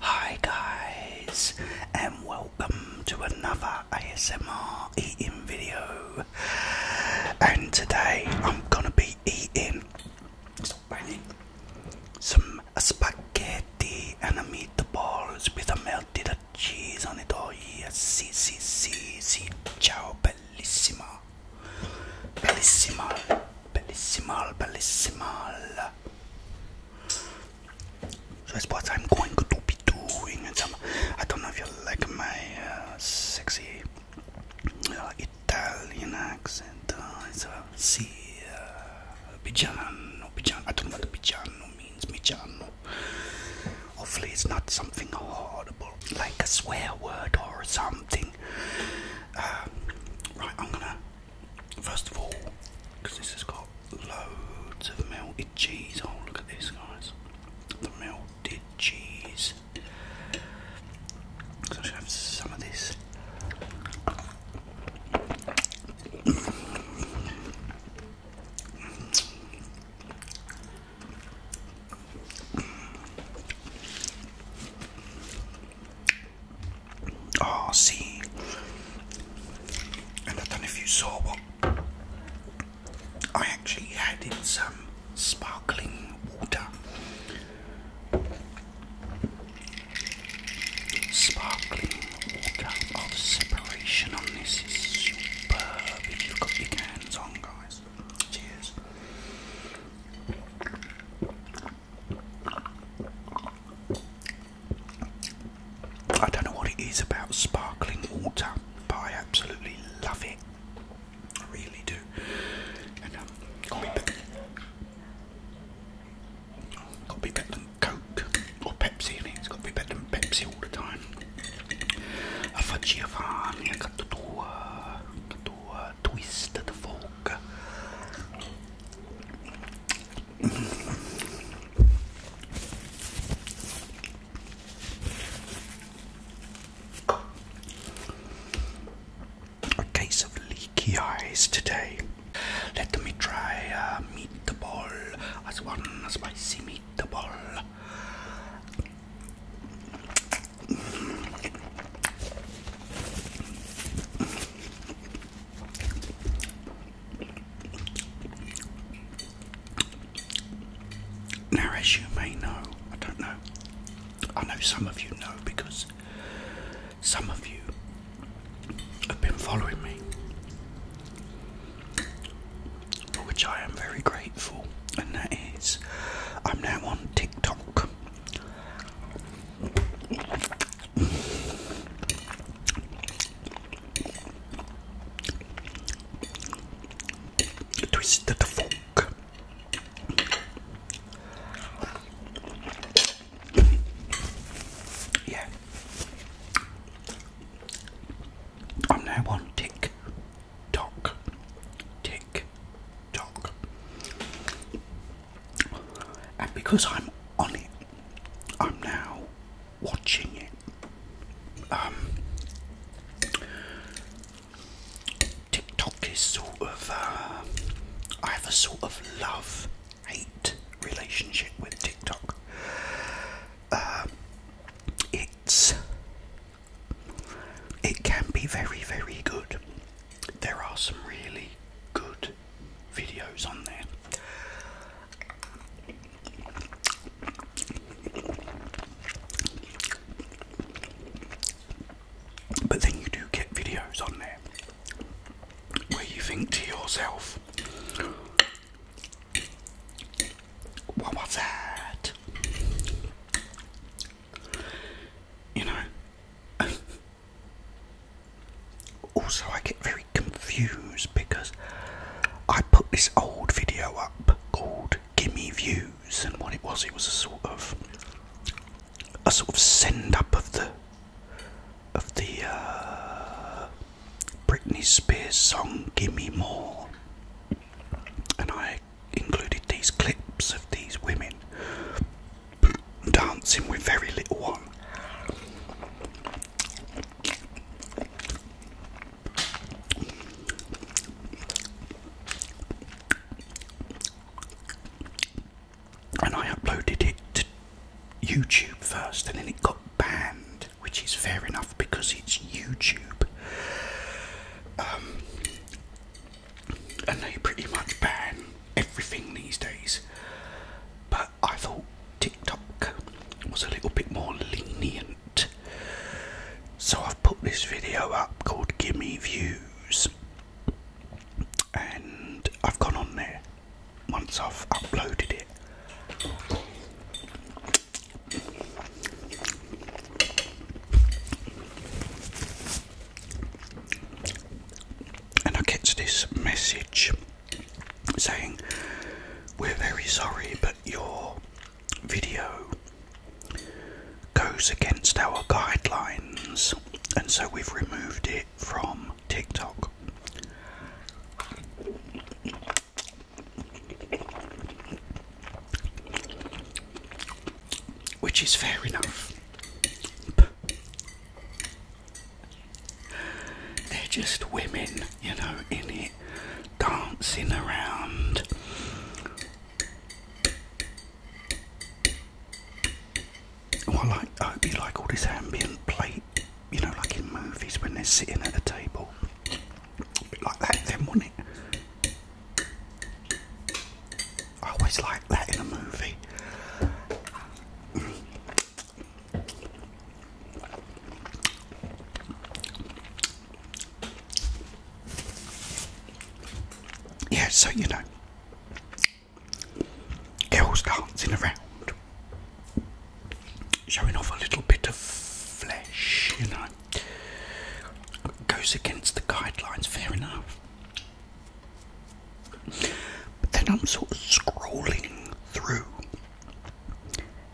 Hi guys and welcome to another ASMR eating video and today I'm gonna be eating some spaghetti and a meatballs with a melted cheese on it oh yes see si, si, si, ciao bellissima bellissima Belissimal, belissimal. So that's what I'm going to be doing. I don't know if you like my uh, sexy uh, Italian accent. Uh, it's a si, uh, Pigiano, I don't know what Pigiano means. Pigiano. Hopefully, it's not something horrible like a swear word or something. right, I'm gonna first of all, because this has got loads of melted cheese. Oh, look at this, guys! The melted cheese. So I should have some of this. Oh, see, and I don't know if you saw what I actually had in some sparkling water. Sparkling water. Oh, the separation on this is superb. If you've got big hands on, guys. Cheers. I don't know what it is about sparkling water, but I absolutely love it. I really do. And um, got to be better, got to be better than Coke or Pepsi. I it's got to be better than Pepsi all the time. A faccia fan, a cattua, cattua, twisted folk. A case of leaky eyes today. Let me try a uh, meatball as one spicy meatball. Now, as you may know, I don't know, I know some of you know because some of you have been following me, for which I am very grateful, and that is I'm now on TikTok twisted the fork. Yeah. I'm now on tick tock, tick tock. And because I'm on it, I'm now watching it. Um, TikTok is sort of, uh, I have a sort of love hate relationship with TikTok. Uh, it's it can be very, very good. There are some really good videos on there. But then you do get videos on there where you think to yourself, what was that? You know. also, I get very confused because I put this old video up called "Gimme Views," and what it was, it was a sort of a sort of send up of the of the uh, Britney Spears song "Gimme More," and I included these clips of these women dancing with very little on. And I uploaded it to YouTube first and then it got banned, which is fair enough because it's YouTube. Um, and they pretty much ban everything these days. But I thought TikTok was a little bit more lenient. So I've put this video up called Gimme Views. And I've gone on there once I've uploaded it. And I get this message saying, We're very sorry, but your video goes against our guidelines, and so we've removed it from TikTok. Which is fair enough. They're just women, you know, in it, dancing around. I, like, I hope you like all this ambient plate, you know, like in movies when they're sitting at a table like that them, wouldn't it? I always like that in a movie. Yeah, so you know, girls dancing around, showing off a little bit of flesh, you know goes against the guidelines, fair enough. But then I'm sort of scrolling through,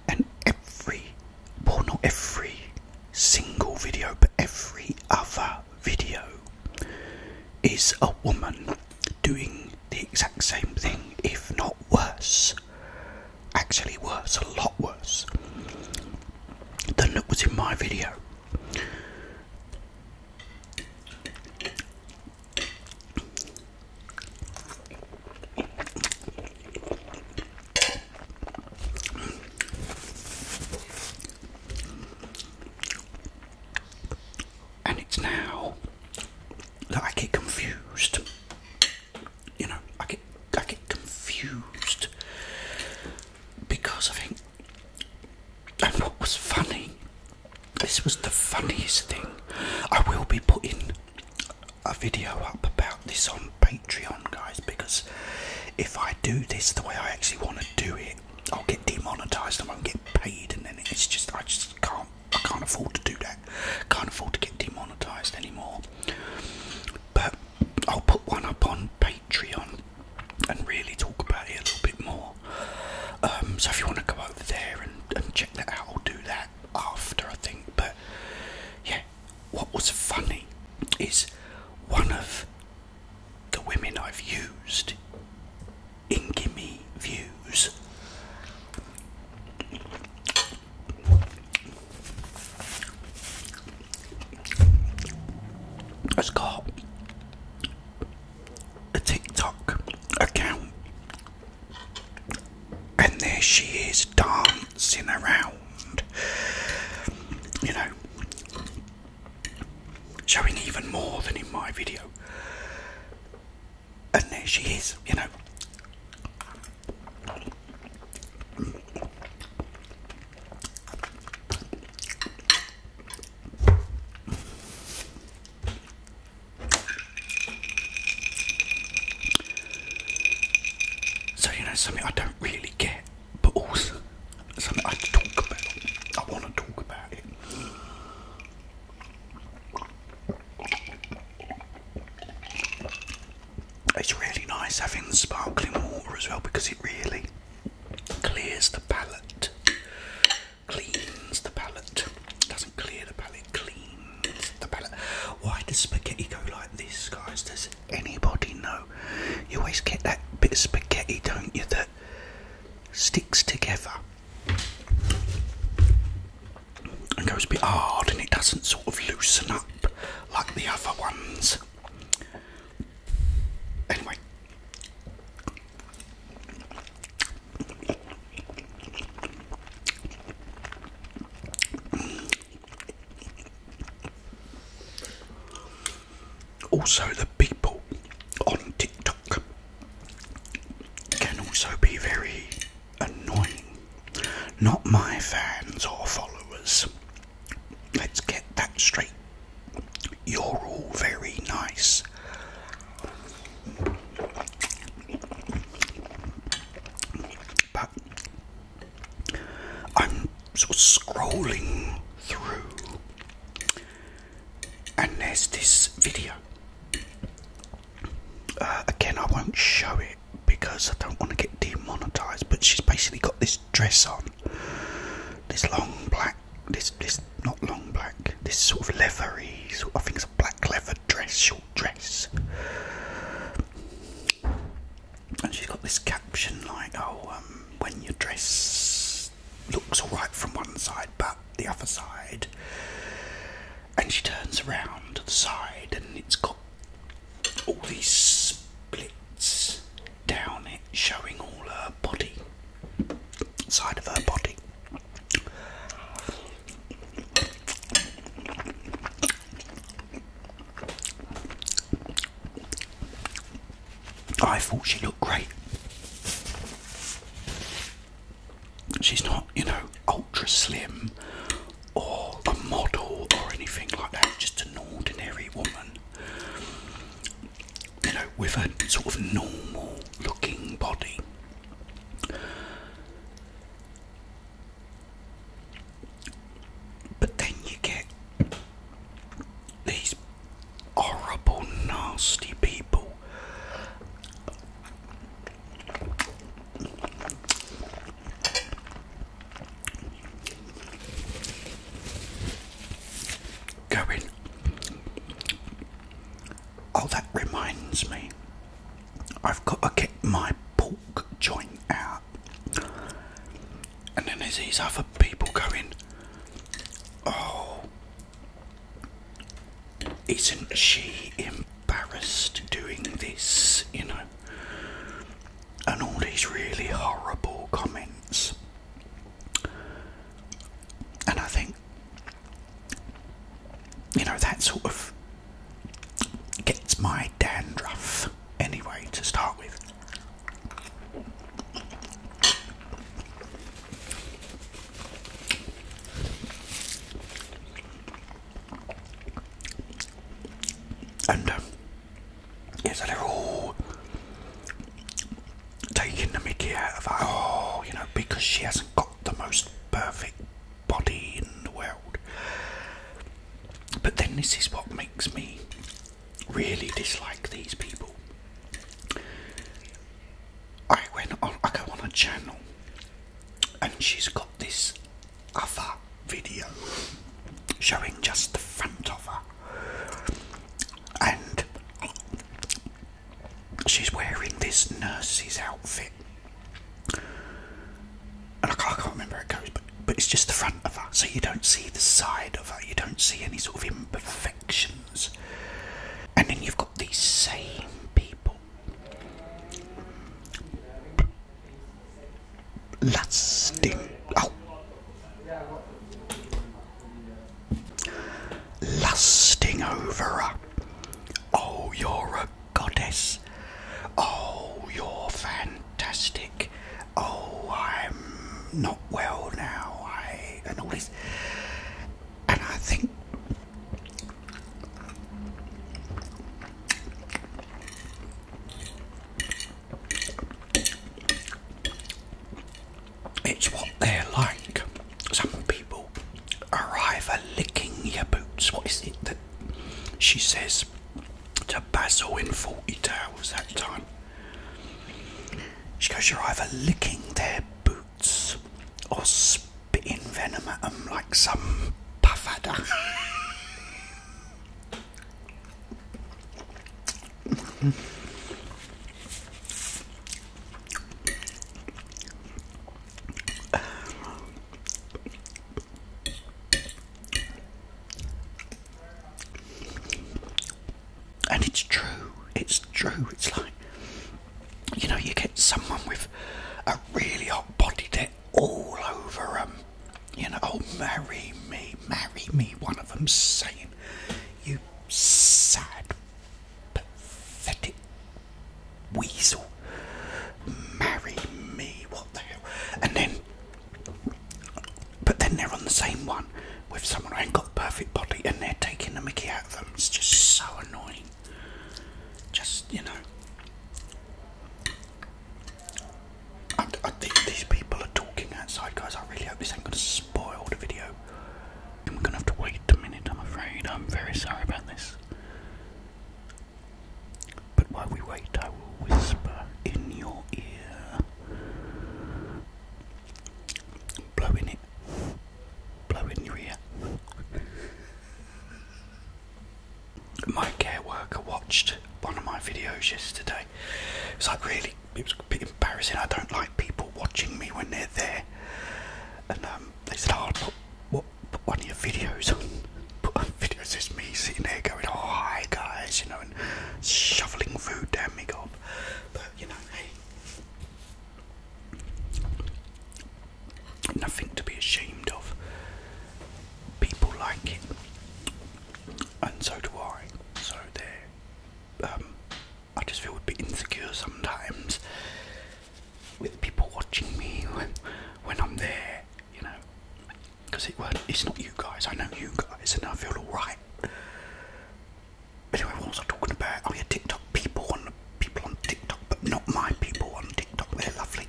and every, well, not every single video, but every other video is a woman doing the exact same thing, if not worse actually worse, a lot worse than it was in my video. And it's now that I confused you know, I get I get confused because I think and what was funny this was the funniest thing. I will be putting a video up about this on Patreon guys because if I do this the way I actually want to do it I'll get demonetized I won't get paid and then it's just I just can't I can't afford to do that. Can't afford to get demonetized anymore but I'll put one up on Patreon and really talk about it a little bit more. Um, so if you want to go over there and, and check that out, I'll do that after I think. But yeah, what was funny is one of the women I've used in Gimme Views Let's go. a TikTok account, and there she is dancing around, you know, showing even more than in my video. And there she is, you know. So you know something I don't really get, but also something I talk about. I want to talk about it. It's really nice having sparkling water as well because it really clears the palate, cleans the palate, doesn't clear the palate, cleans the palate. Why does spaghetti go like this, guys? Does anybody know? You always get that bit of spaghetti, don't you, that sticks together and goes a bit hard and it doesn't sort of loosen up like the other ones. Anyway. Also, the people on TikTok can also be very annoying. Not my fans or followers. Let's get that straight. You're all very nice. But I'm scrolling through, and there's this video uh, again, I won't show it because I don't want to get demonetized. But she's basically got this dress on, this long black, this this not long black, this sort of leathery, sort of, I think it's a black leather dress, short dress. And she's got this caption like, "Oh, um, when your dress looks all right from one side, but the other side and she turns around to the side and it's got all these splits down it showing all her body side of her body I thought she looked great she's not, you know, ultra slim or a model or anything like that, just an ordinary woman, you know, with a sort of normal looking body. But then you get these horrible, nasty people Going. Oh, that reminds me. I've got to get my pork joint out. And then there's these other people going, Oh, isn't she embarrassed doing this, you know? And all these really horrible comments. And I think, you know, that sort of gets my dandruff anyway to start with. And it's a little taking the mickey out of her. Oh, you know, because she hasn't got the most perfect body in the world. But then this is what makes me really dislike these people. I went on, I go on a channel and she's got this other video showing just the front of her, and she's wearing this nurse's outfit. And I can't, remember it goes, but, but it's just the front of her, so you don't see the side of her, you don't see any sort of imperfections. And then you've got these same people Lasting out. Lusting over her. Oh, you're a goddess. Oh, you're fantastic. Oh, I'm not well now. I and all this. And I think it's what they're like. Some people are either licking your boots. What is it that she says to Basil in Forty Tales that time? She goes, You're either licking their boots roots or spitting venom at them like some puffer. And it's true, it's true, it's like you know, you get someone with a really hot body that all over them, you know, oh, marry me, marry me, one of them saying, you sad, pathetic weasel, marry me, what the hell, and then, but then they're on the same one with someone who ain't got the perfect body and they're taking the mickey out of them, it's just so annoying. Just, you know. I, think these people are talking outside, guys. I really hope this ain't going to spoil the video. And we're going to have to wait a minute, I'm afraid. I'm very sorry about this. But while we wait, I will whisper in your ear. Blowing it blow in your ear. My care worker watched one of my videos yesterday. It's like really, it was a bit embarrassing. I don't like people watching me when they're there. And um, they said, "Oh, put, put one of your videos on." Put on videos. It's me sitting there going, oh, hi guys," you know, and shoveling food down my gob. But you know, hey, Nothing to be ashamed of. People like it, and so do I. So there, um, I just feel a bit insecure sometimes with people watching me when, I'm there, you know. Because it's not you guys. I know you guys, and I feel alright. Anyway, what was I talking about? Oh yeah, TikTok people on people on TikTok, but not my people on TikTok. They're lovely.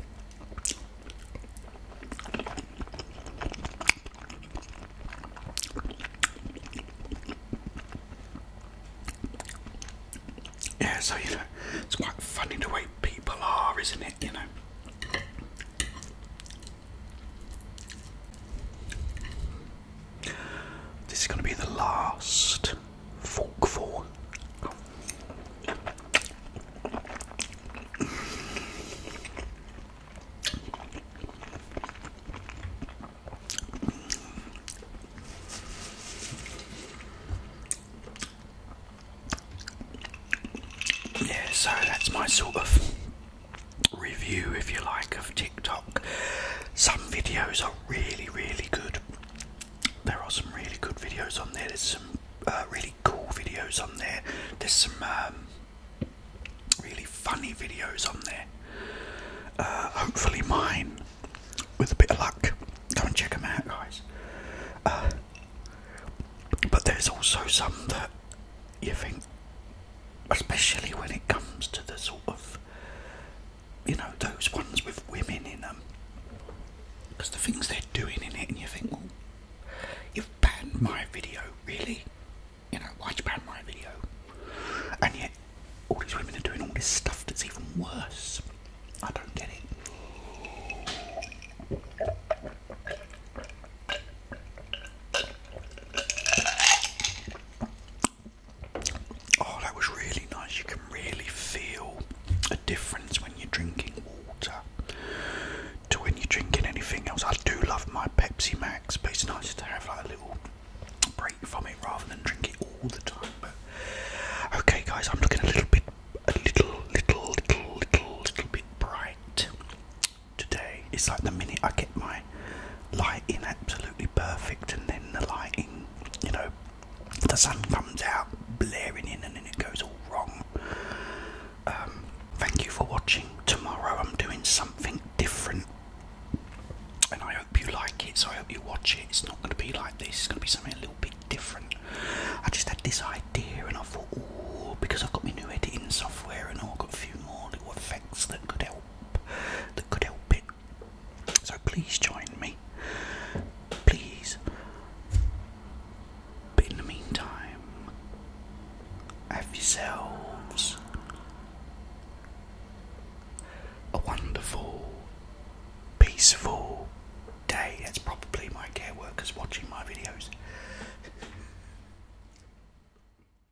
Yeah, so you know, it's quite funny the way people are, isn't it? You know. This is going to be the last forkful. Yeah, so that's my sort of review, if you like, of TikTok. Some videos are really, really good. There are some really good videos on there. There's some uh, really cool videos on there. There's some um, really funny videos on there. Uh, hopefully, mine, with a bit of luck. Go and check them out, guys. Uh, but there's also some that you think especially when it comes to the sort of you know those ones with women in them because the things they're doing in it and you think well you've banned my video really you know why'd you ban my video and yet all these women are doing all this stuff that's even worse i don't get it Oh, that was really nice. You can really feel a difference when you're drinking water to when you're drinking anything else. I do love my Pepsi Max, but it's nice to have like a little break from it rather than drink it all the time. okay, guys, I'm looking a little bit, a little, little, little, little, little bit bright today. It's like the minute I get mine lighting absolutely perfect and then the lighting you know the sun comes out blaring in and then it goes all wrong um, thank you for watching tomorrow i'm doing something different and i hope you like it so i hope you watch it it's not going to be like this it's going to be something a little bit different i just had this idea and i thought oh because i've got my new editing software and i've got a few more little effects that could help that could help it. So please join me. Please. in the meantime, have yourselves a wonderful, peaceful day. That's probably my care workers watching my videos.